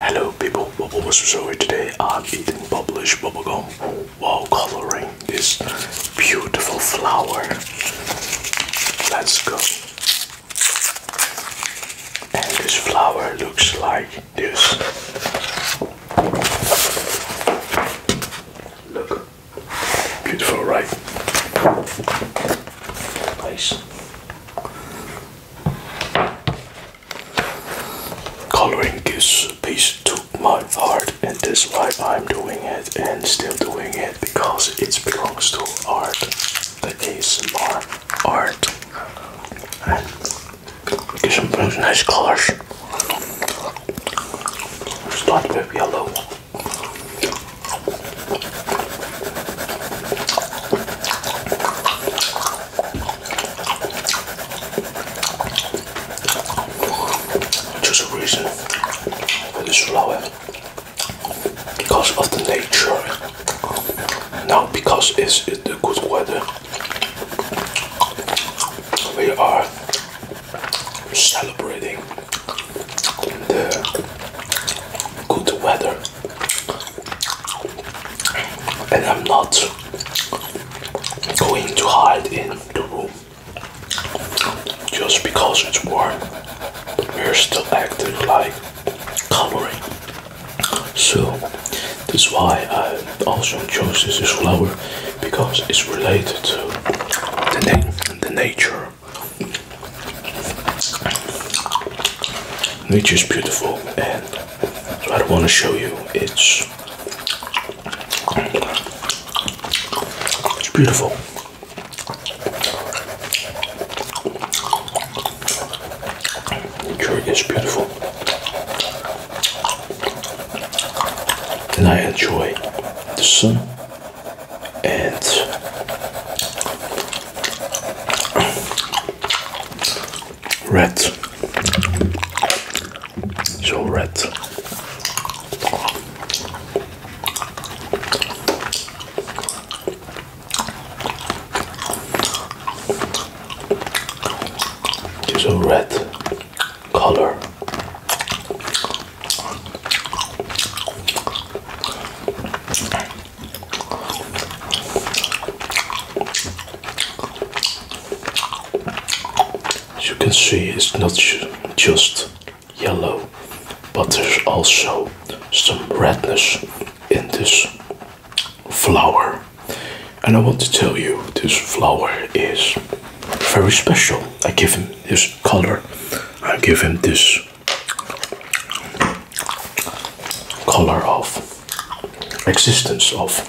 Hello people, Bubble Mr. Zoe. Today I'm eating Bubblish bubblegum while coloring this beautiful flower. Let's go. And this flower looks like this. Look. Beautiful, right? Nice. Coloring this piece took my heart, and that's why I'm doing it and still doing it because it belongs to art, the ASMR art. And get some nice colors. Start with yellow. There's a reason for this flower because of the nature, Now, because it's the good weather. We are celebrating the good weather and I'm not going to hide in the room just because it's warm. We're still active, like coloring, so that's why I also chose this flower because it's related to the nature. Nature is beautiful and so I don't want to show you. It's it's beautiful. It is beautiful. And I enjoy the sun and red, so red. Just a red color. As you can see, it's not just yellow, but there's also some redness in this flower. And I want to tell you, this flower is very special. I give him his color. I give him this color of existence of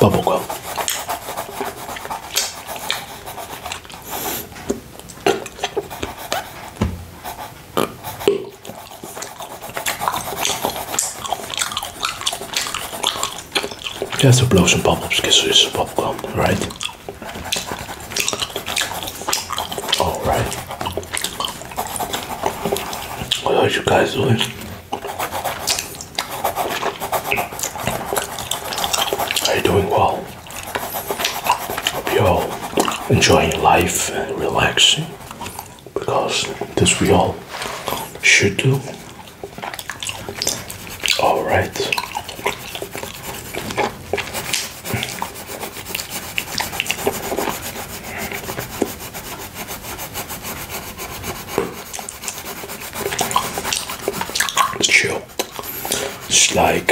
bubble gum. Just to blow some bubbles because it's gum, right? Alright. What are you guys doing? Are you doing well? Hope you're all enjoying life and relaxing because this we all should do. Alright. It's chill. It's like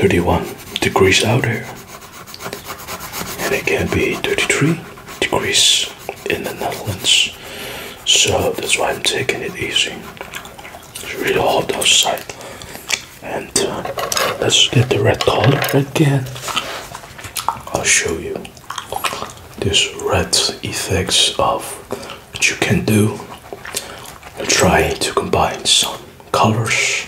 31 degrees out here, and it can be 33 degrees in the Netherlands. So that's why I'm taking it easy. It's really hot outside, and uh, let's get the red color again. I'll show you this red effects of what you can do and try to combine some colors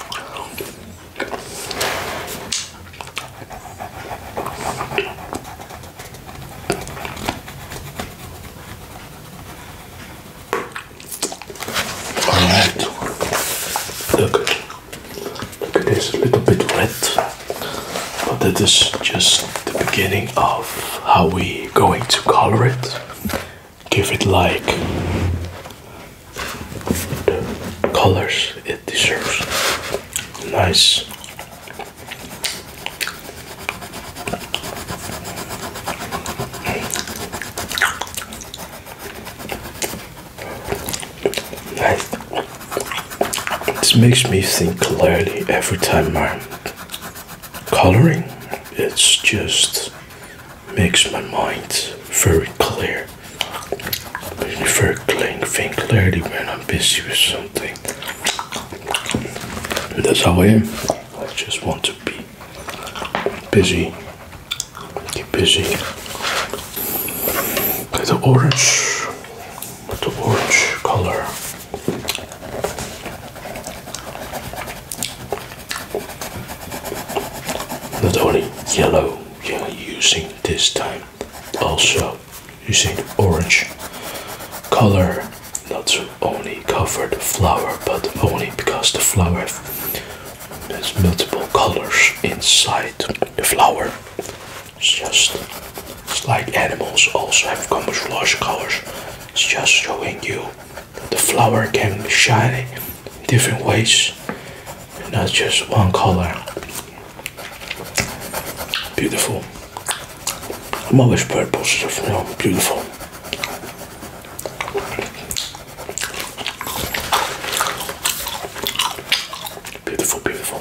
all right look look at this little bit red but that is just the beginning of how we going to color it. Give it like the colors it deserves. Nice. Nice. This makes me think clearly every time I'm coloring. It just makes my mind very clear. Very clean, think clearly when I'm busy with something. that's how I am. I just want to be busy. busy. Okay, the orange, the orange color. Not only yellow we using this time, also using orange color, not only cover the flower, but only because the flower has multiple colors inside the flower. It's just it's like animals also have camouflage colors. It's just showing you the flower can shine in different ways, not just one color. Beautiful. I'm always purple stuff, you know, beautiful. Beautiful, beautiful.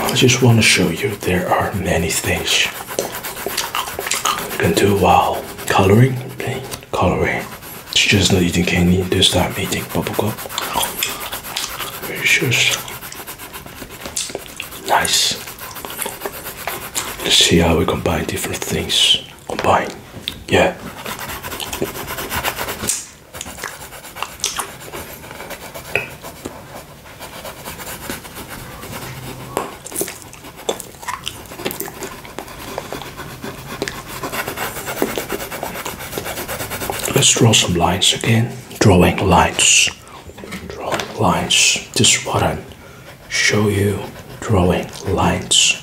I just want to show you there are many things you can do while coloring, coloring. It's just not eating candy this time, eating bubblegum. It's just nice. Let's see how we combine different things. Combine, yeah. Let's draw some lines again. Drawing lines. Drawing lines. This is what I show you. Drawing lines.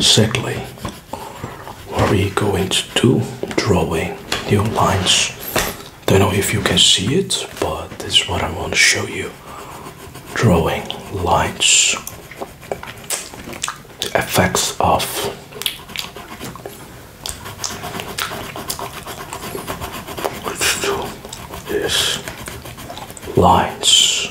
Secondly, are you going to do drawing your lines? I Don't know if you can see it, but this is what I want to show you. Drawing lines. effects of this lines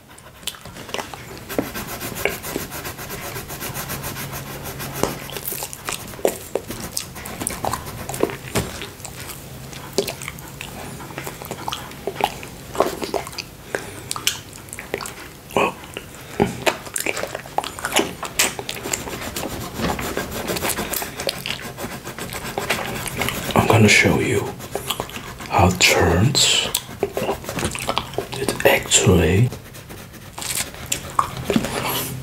I'm going to show you how it turns it actually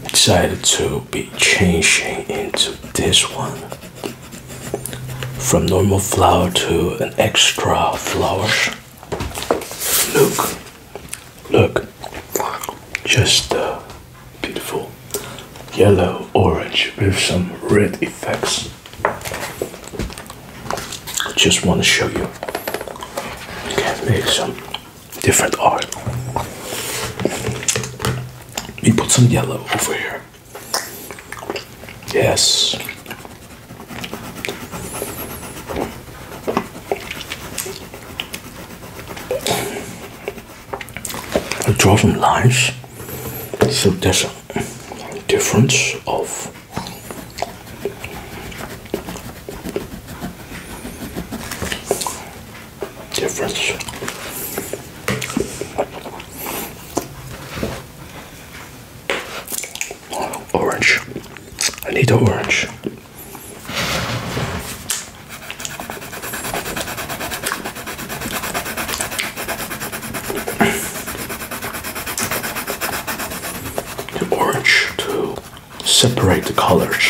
decided to be changing into this one from normal flower to an extra flower? look look just a beautiful yellow orange with some red effects just want to show you. You can make some different art. We put some yellow over here. Yes. I draw some lines so there's a difference of difference orange I need an orange the orange to separate the colors.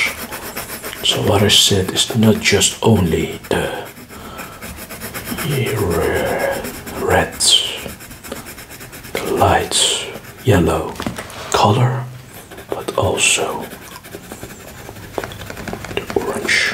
So what I said is not just only the reds, the lights, yellow color, but also the orange.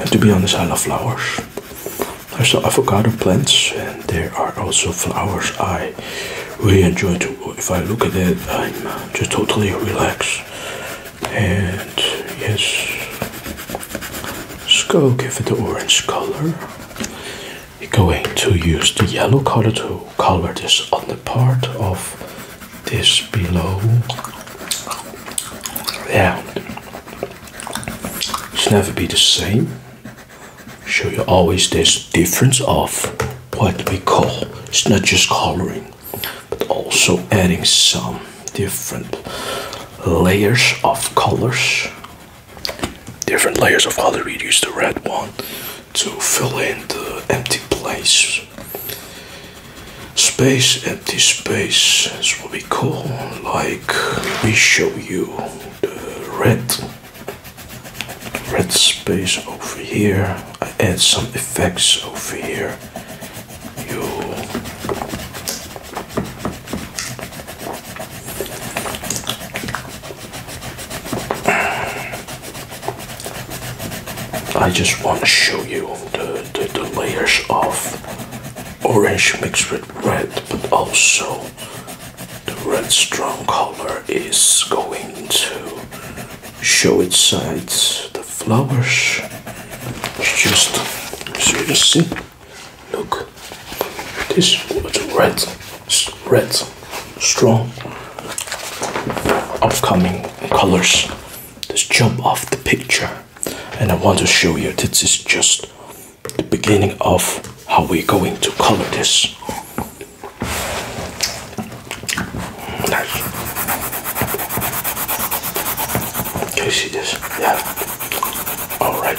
And to be honest, I love flowers. There's the avocado plants, and there are also flowers. I really enjoy to. If I look at it, I'm uh, just totally relaxed. And yes, go. give it the orange color. We're going to use the yellow color to color this on the part of this below yeah it's never be the same so you always there's difference of what we call it's not just coloring but also adding some different layers of colors different layers of color we use the red one to fill in the empty place Space, empty space is what we call like we show you the red red space over here. I add some effects over here. You I just want to show you the the, layers of orange mixed with red, but also the red strong color is going to show its sides. the flowers. just so you see, look, this with red, red, strong, upcoming colors. Just jump off the picture and I want to show you this is just the beginning of how we're going to color this. Nice. Can you see this? Yeah. All right.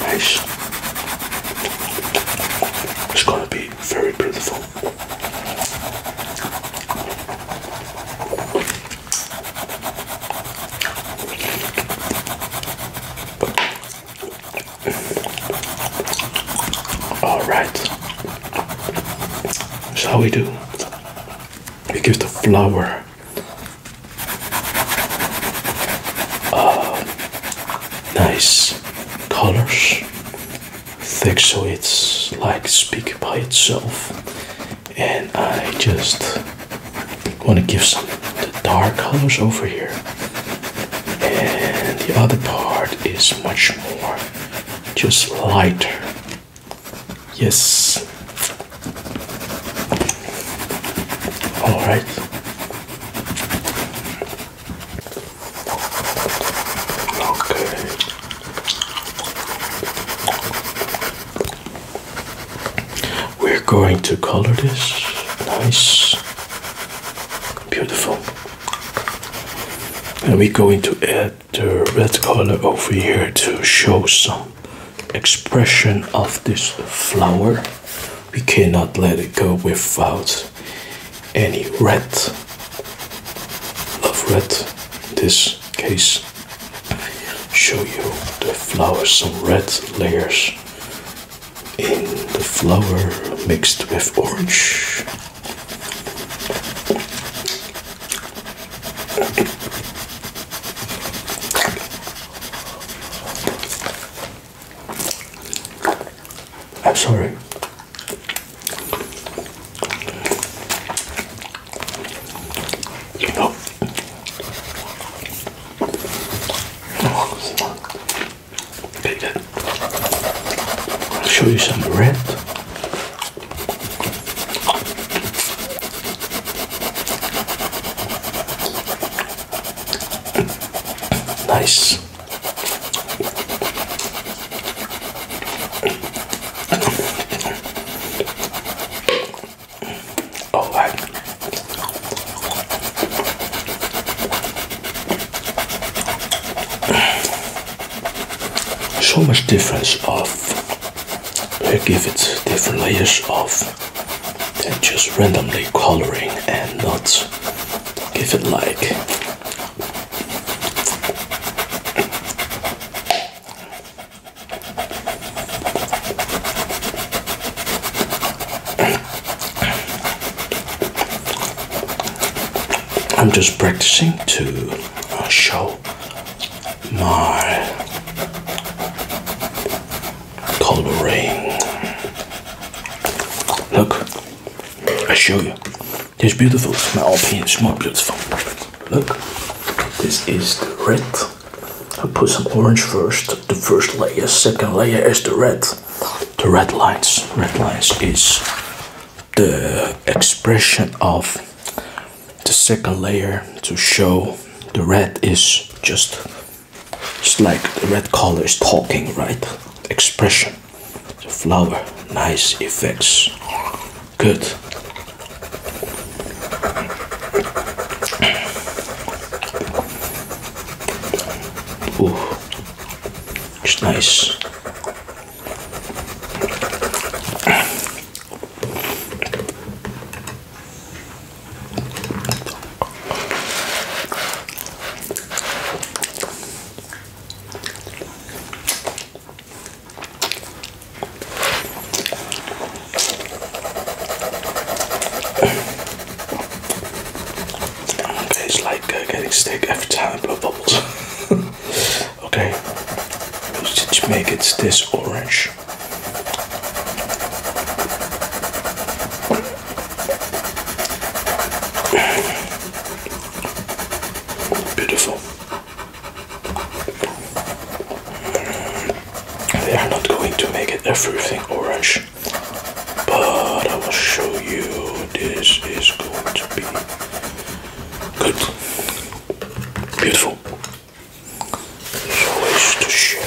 Nice. It's gonna be very beautiful. All right. So we do? We give the flower. Uh, nice colors, thick so it's like speak by itself, and I just want to give some the dark colors over here, and the other part is much more just lighter. Yes. All right. Okay. We're going to color this. Nice. Beautiful. And we're going to add the red color over here to show some expression of this flower we cannot let it go without any red love red in this case show you the flower some red layers in the flower mixed with orange I'm sorry. You know, I'll show you some red. Nice. Oh, I so much difference of I give it different layers of and just randomly coloring and not give it like I'm just practicing to uh, show my Color rain. Look, I show you. This beautiful. It's my opinion. It's more beautiful. Look, this is the red. I put some orange first. The first layer. Second layer is the red. The red lines. Red lines is the expression of the second layer to show the red is just it's like the red color is talking, right? Expression. The flower, nice effects. Good. Ooh, it's nice it's like uh, getting sick every time I blow bubbles. okay, just make it this orange. Beautiful. They are not going to make it everything orange, but I will show you this is going to be good. Beautiful. So as to show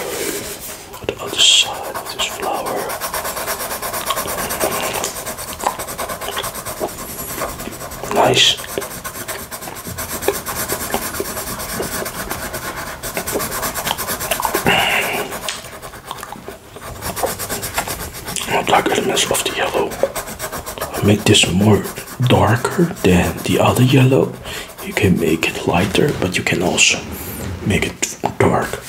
the other side of this flower. Nice. I dark elements of the yellow. I make this more darker than the other yellow you can make it lighter but you can also make it dark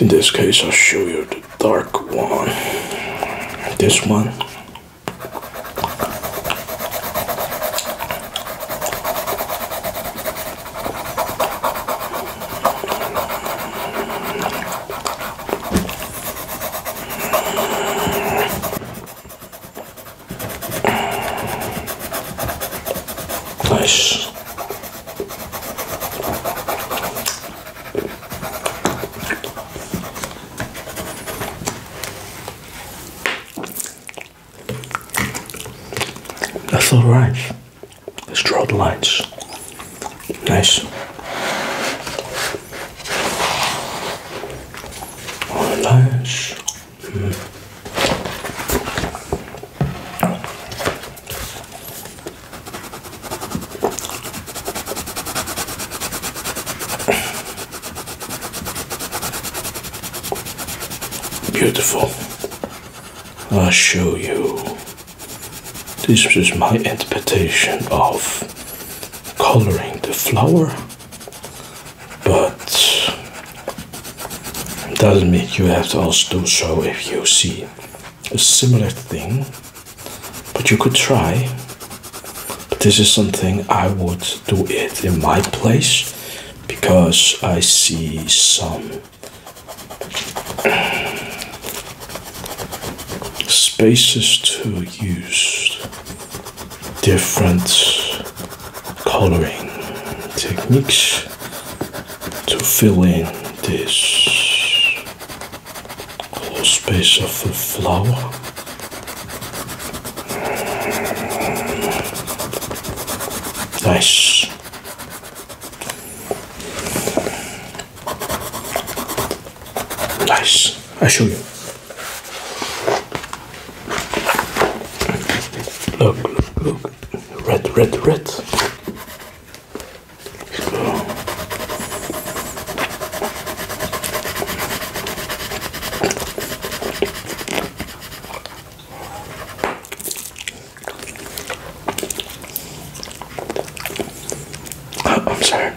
in this case I'll show you the dark one this one Nice. That's all right. Let's draw the lines. Nice. All Beautiful. I'll show you. This is my interpretation of coloring the flower but it doesn't mean you have to also do so if you see a similar thing but you could try but this is something i would do it in my place because i see some spaces to use different coloring techniques to fill in this whole space of the flower. Nice. Nice. I show you. Look, look, look. Red, red, red. let oh, I'm sorry.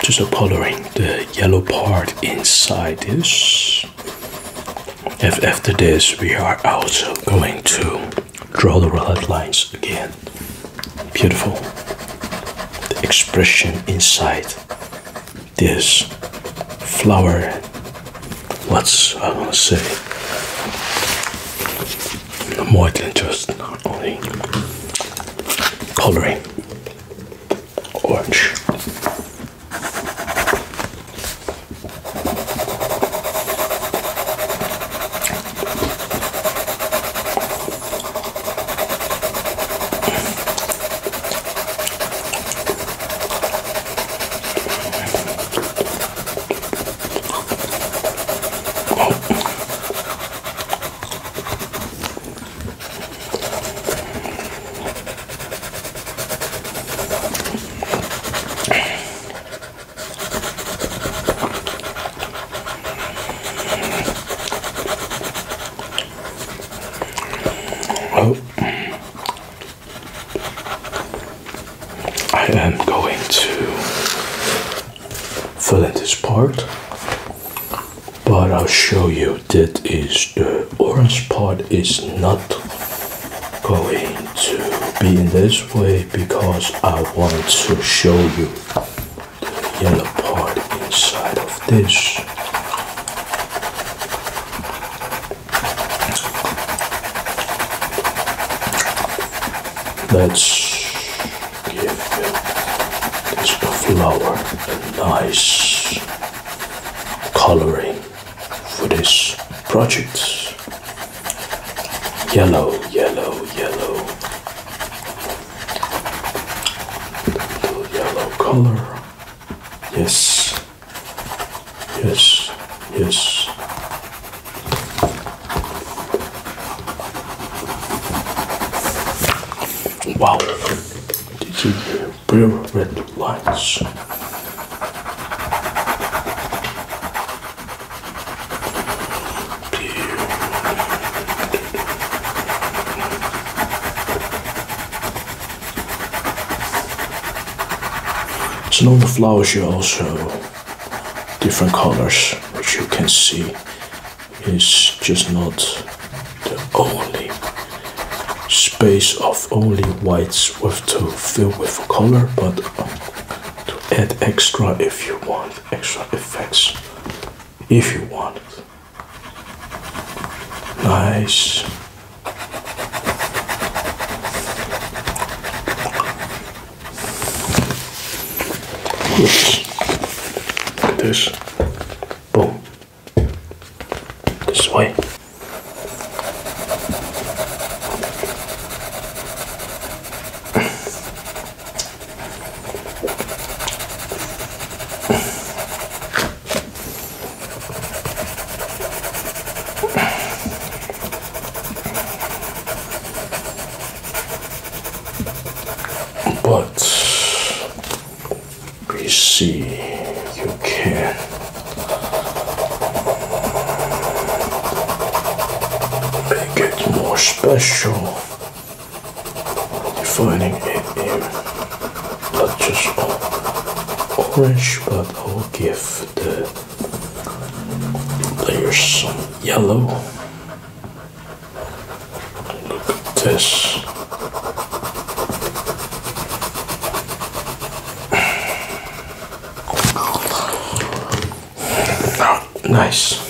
just coloring the yellow part inside this after this we are also going to draw the red lines again beautiful the expression inside this flower what's i want to say more than just only coloring orange. Oh, I am going to fill in this part but I'll show you that is the orange part is not going to be in this way because I want to show you the yellow part inside of this let give this flower a nice coloring for this project. Yellow, yellow, yellow. Little yellow color. Yes. Yes. Yes. Wow, these are hear blue red lights? So on the flowers you also different colors which you can see is just not the only space of only whites with to fill with color but um, to add extra if you want extra effects if you want nice Oops. this. Boom. This way but we see you can make it more special defining it not just orange but I'll give the layers some yellow Look at this. nice.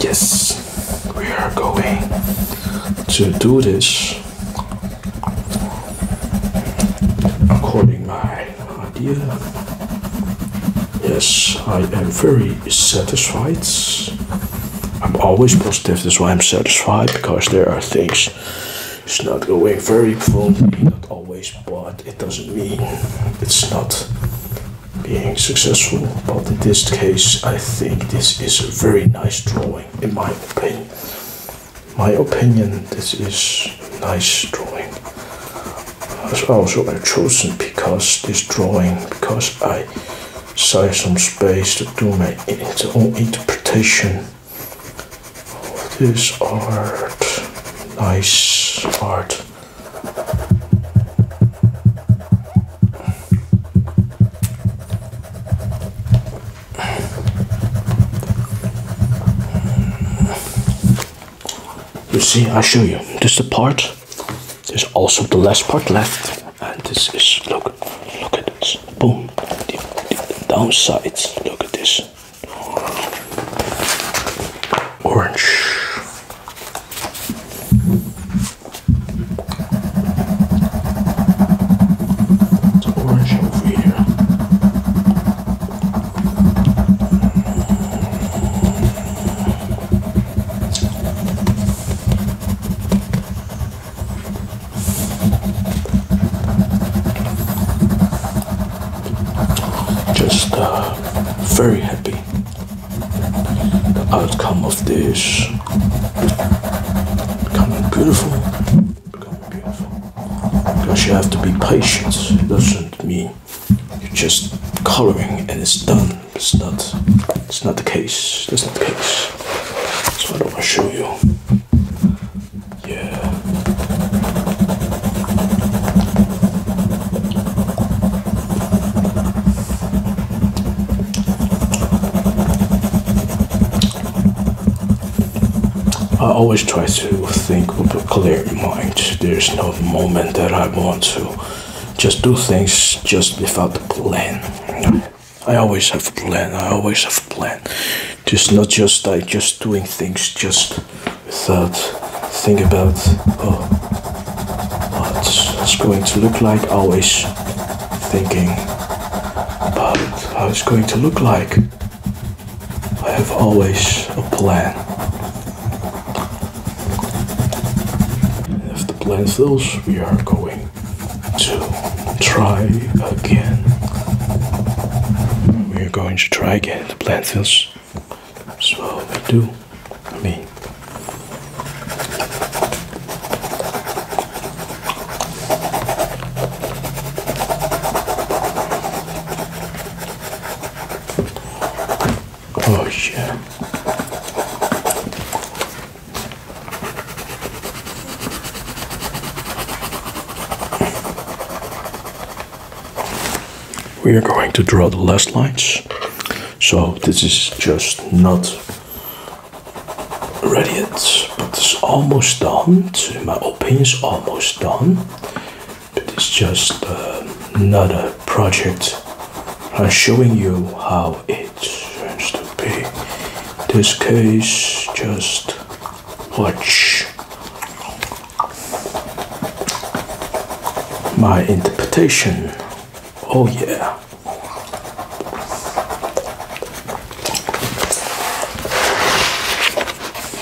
Yes, we are going to do this. According my idea, yes, I am very satisfied. I'm always positive, that's why I'm satisfied because there are things it's not going very well, not always, but it doesn't mean it's not being successful. But in this case, I think this is a very nice drawing, in my opinion my opinion, this is nice drawing. Also, I chosen because this drawing because I save some space to do my own interpretation of this art. Nice art. You see, I show you. This is the part. There's also the last part left. And this is look, look at this. Boom. The, the downside. Look at this. Orange. It's orange over here. Just uh, very happy the outcome of this becoming beautiful because you have to be patient. It doesn't mean you're just coloring and it's done. It's not. It's not the case. It's not the case. So I don't want to show you. Yeah. I always try to think with a clear mind. There's no moment that I want to just do things just without a plan. I always have a plan. I always have a plan. It's not just I just doing things just without think about oh what it's going to look like. Always thinking about how it's going to look like. I have always a plan. if the plan fails, we are going to try again. We are going to try again. The plan fails. So we do. I mean, Oh yeah. We are going to draw the last lines. So this is just not ready yet, but it's almost done. In my opinion, it's almost done it's just uh, another project. I'm showing you how it turns to be. In this case, just watch my interpretation. Oh yeah.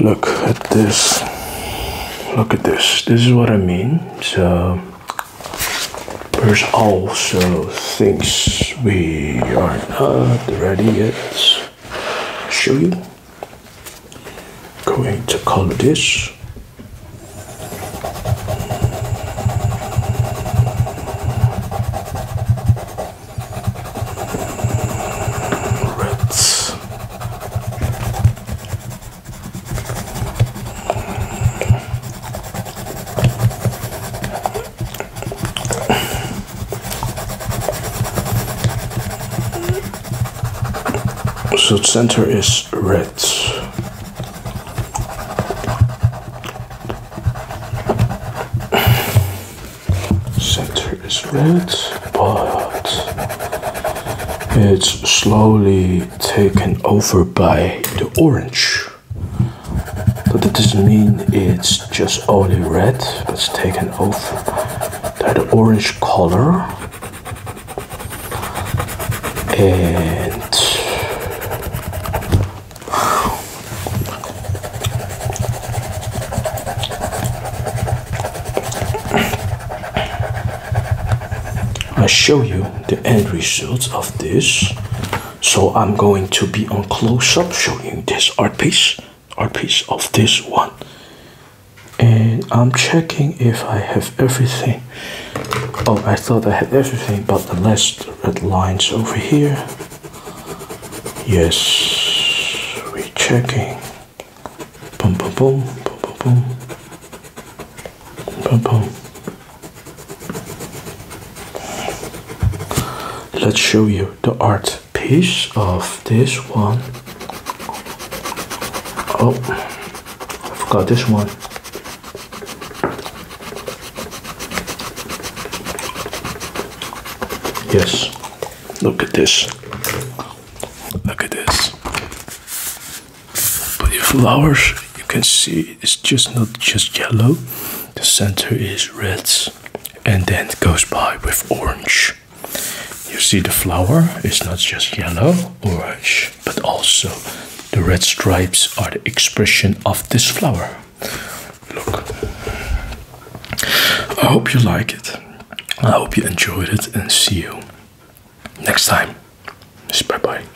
look at this look at this this is what I mean so there's also things we are not ready yet. Show you. Going to call this. So center is red. Center is red, but it's slowly taken over by the orange. But that doesn't mean it's just only red, but it's taken over by the orange color. And I show you the end results of this. So I'm going to be on close-up showing this art piece, art piece of this one. And I'm checking if I have everything. Oh, I thought I had everything, but the last red lines over here. Yes, we checking. boom, boom, boom, boom, boom. Boom, Let's show you the art piece of this one. Oh, I forgot this one. Yes, look at this. Look at this but the flowers you can see it's just not just yellow the center is red and then it goes by with orange you see the flower is not just yellow orange but also the red stripes are the expression of this flower look i hope you like it i hope you enjoyed it and see you next time bye bye